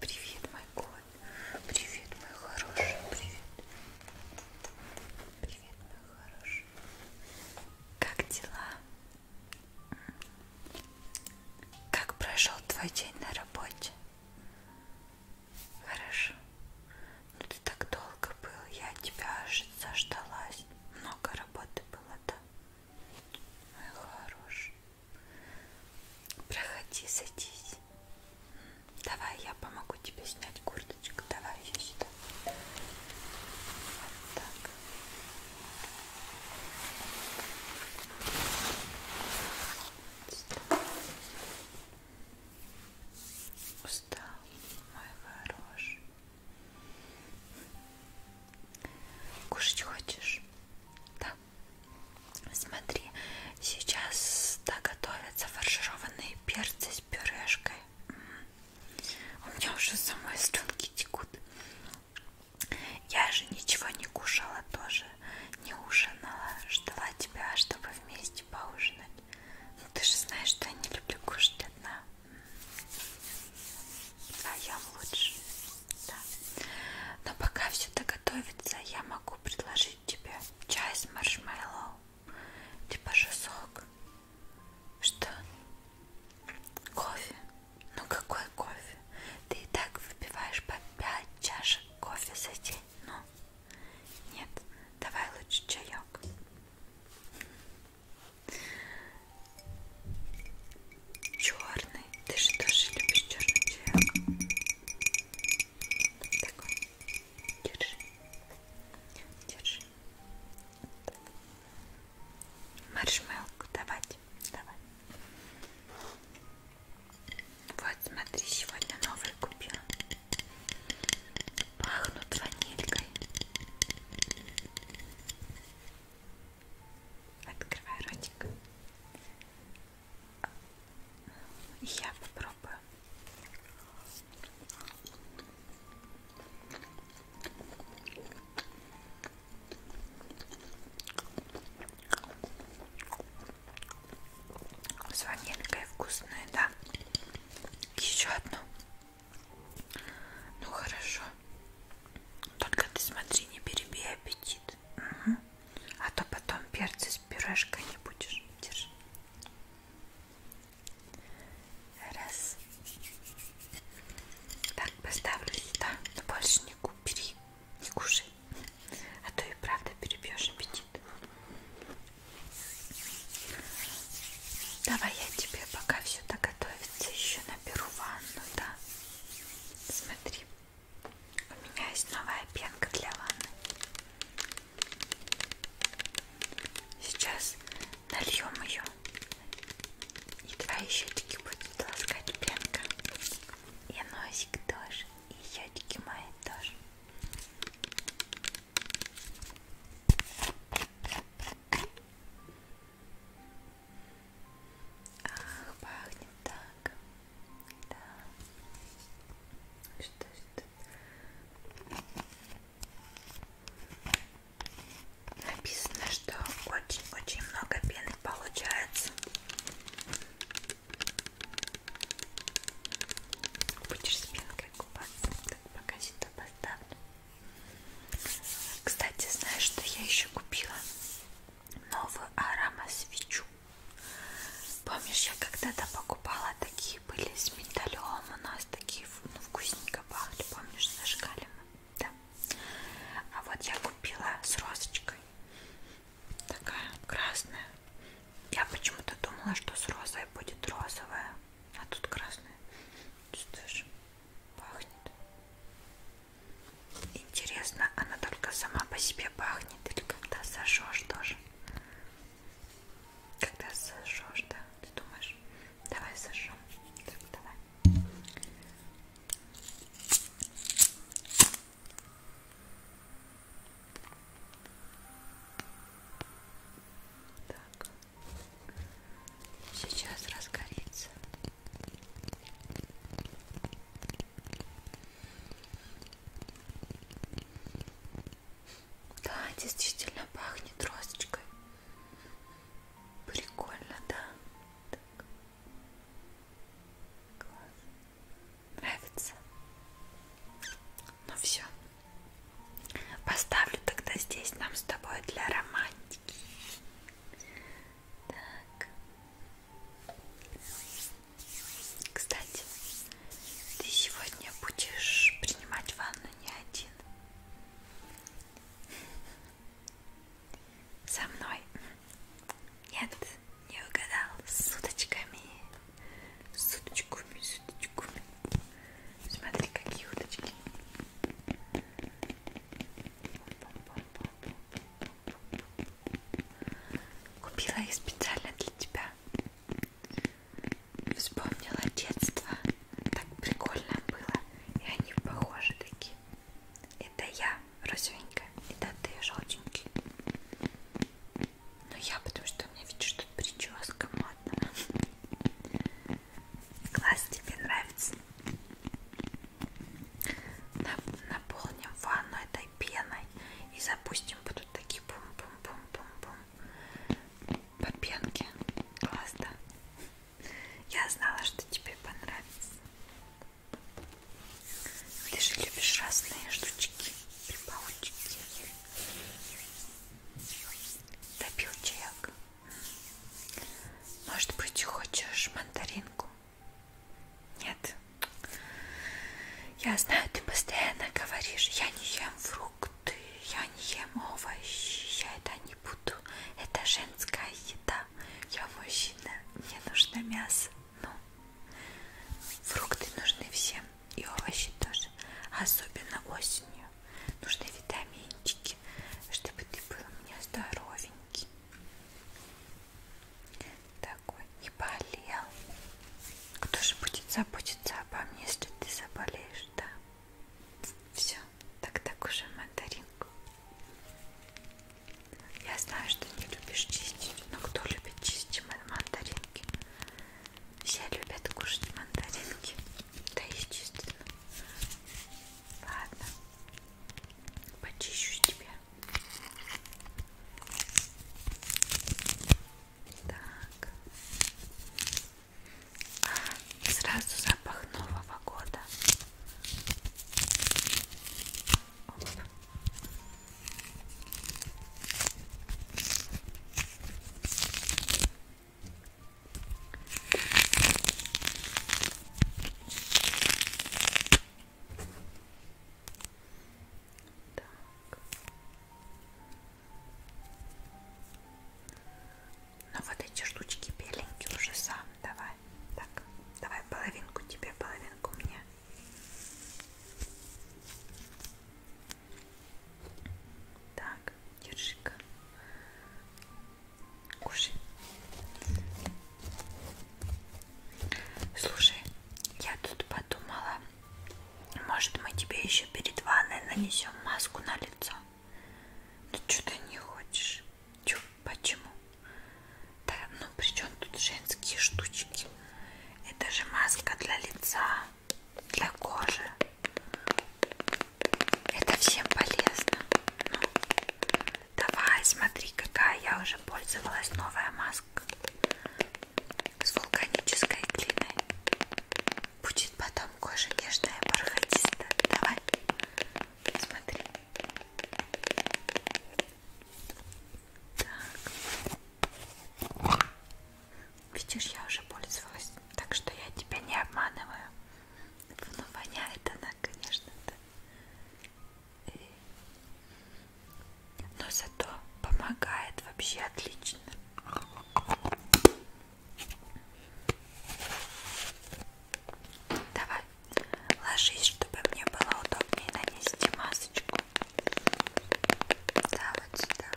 Привет, мой кот. Привет, мой хороший. Привет. Привет, мой хороший. Как дела? Как прошел твой день на работе? Хорошо. Ну ты так долго был, я тебя аж заждалась. Много работы было, да? Мой хороший. Проходи, садись. Давай я помогу тебе снять курточку. Давай я сюда. Вот так. Устал. Устал, мой хороший. Кушать хочешь? Да. Смотри, сейчас да, готовятся фаршированные перцы с пюрешкой. У меня уже самой слюнки текут. Я же ничего не кушала тоже, не ужинала. Ждала тебя, чтобы вместе поужинать. Ну ты же знаешь, что я не люблю кушать одна. А я лучше. Да. Но пока все доготовится, я могу предложить тебе чай с маршмеллоу. Типа же сок. Что? Кофе? Ну какой кофе? Ты и так выпиваешь по 5 чашек кофе за день. Ну, нет, давай лучше чаек. Черный. Ты же тоже любишь черный чаек. Такой. Держи. Держи. Маршмелку давать. Давай. Вот, смотри, сегодня новые купила. Пахнут ванилькой. Открывай ротик. Я попробую. С ванилькой вкусная, да? Еще одну. Ну хорошо. Только ты смотри, не перебей аппетит. Угу. А то потом перцы с пюрешкой не будешь. Держи. Раз. Так, поставлю сюда. Но больше не купи, не кушай. А то и правда перебьешь аппетит. Давай я тебе пока все доготовится, еще наберу ванну, да? Смотри, у меня есть новая пенка для ванны. Сейчас нальем ее. И твои щетки будут ласкать пенка. И носик тоже. И щетки мои тоже. Ах, пахнет так. Да. Что ж тут? Написано, что очень-очень много пены получается. Будешь спинкой купаться, так пока сюда поставлю. Кстати, знаешь, что я еще купила? Новую аромасвечу. Помнишь, я когда-то покупала такие такие были с миндалем, у нас такие ну, вкусненько пахли, помнишь, зажигали мы, да. А вот я купила с розочкой, такая красная. Я почему-то думала, что с розой будет розовая, а тут красная. Чувствуешь, пахнет. Интересно, она только сама по себе пахнет или когда сожжешь тоже? Когда сожжешь, да? Ты думаешь? Давай сожжем. Так, давай. Так. Сейчас разгорится. Да, действительно пахнет розочкой. Прикольно, да? Так. Класс. Нравится? Ну все. Поставлю тогда здесь нам с тобой для романтики. Так. Кстати, ты сегодня будешь принимать ванну но не один. Со мной. Нет, не угадал. С уточками. С уточками, с уточками. Смотри, какие уточки. Купила их специально для тебя. Вспомнила детство. Так прикольно было. И они похожи такие. Это я розовенькая. Это ты желтенький. Но ну, я, потому что у меня, видишь, тут прическа модная. Класс, тебе нравится? Наполним ванну этой пеной и запустим будут такие бум-бум-бум-бум-бум Попенки. Класс, да? Я знала, что тебе понравится. Ты же любишь разные штучки, припаучки. Допил чаяк. Может быть, хочешь мандаринку? Нет. Я знаю, ты постоянно говоришь, я не ем фрукт ты, я не ем овощи, я это не буду, это женская еда, я мужчина, мне нужно мясо, ну, фрукты нужны всем и овощи тоже, особенно осенью, нужны витаминчики, чтобы ты был у меня здоровенький, такой, не болел, кто же будет заботиться обо мне, если ты заболеешь, да? Все, тогда кушаем мандаринку. Я знаю, что не любишь чистить, но кто любит чистить мандаринки? Все любят кушать мандаринки. Да естественно. Ладно. Почищу тебе. Так сразу запах нового года. Оп. Так. Ну вот эти штучки беленькие уже сам давай. Так, давай половинку тебе, половинку мне. Так, держи-ка. Кушай. Слушай, я тут подумала, может, мы тебе еще перед ванной нанесем маску на лицо? Ну, что ты не хочешь? Чё, почему? Да, ну, при чем тут женские штучки? Это же маска для лица, для кожи. Это всем полезно. Ну, давай, смотри, какая я уже пользовалась новая маска с вулканической глиной. Будет потом кожа нежная, бархатистая. Давай, смотри. Так. Видишь, я уже пользовалась, так что я тебя не обманываю. Ну, воняет она, конечно, да. И... Но зато помогает вообще отлично. Давай, ложись, чтобы мне было удобнее нанести масочку. Да, вот сюда.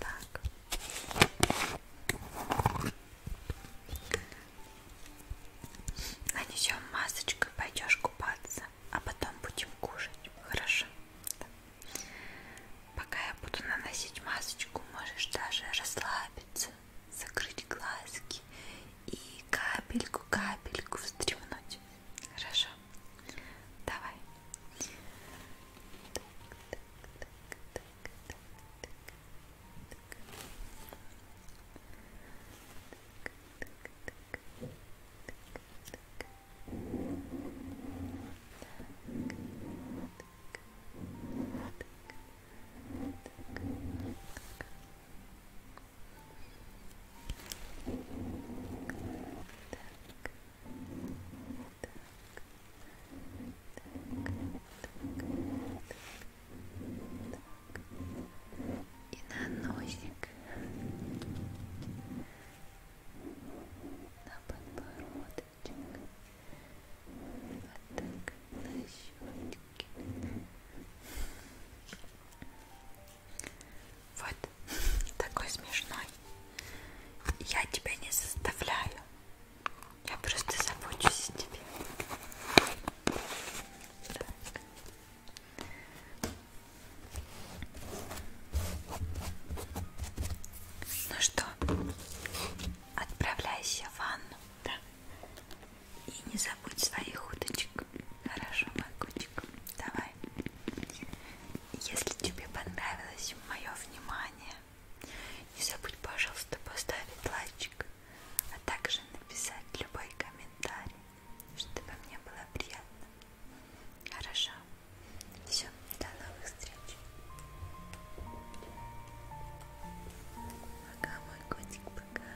Так. Нанесем масочку, пойдешь купаться, а потом будем кушать. Хорошо? Так. Пока я буду наносить масочку, можешь даже расслабиться, закрыть глазки и капельку-капельку вздремнуть. Хорошо? Давай. Так, и на носик, на подбородок щечек, вот так на щечке. Вот такой смешной. Я тебя не заставляю. Я просто забочусь о тебе. Так. Ну что, отправляйся в ванну, да? И не забудь своих уточек. Хорошо, мой котик. Давай. Если тебе понравилось мое внимание, не забудь, пожалуйста, поставить лайчик, а также написать любой комментарий, чтобы мне было приятно. Хорошо. Все, до новых встреч. Пока, мой котик, пока.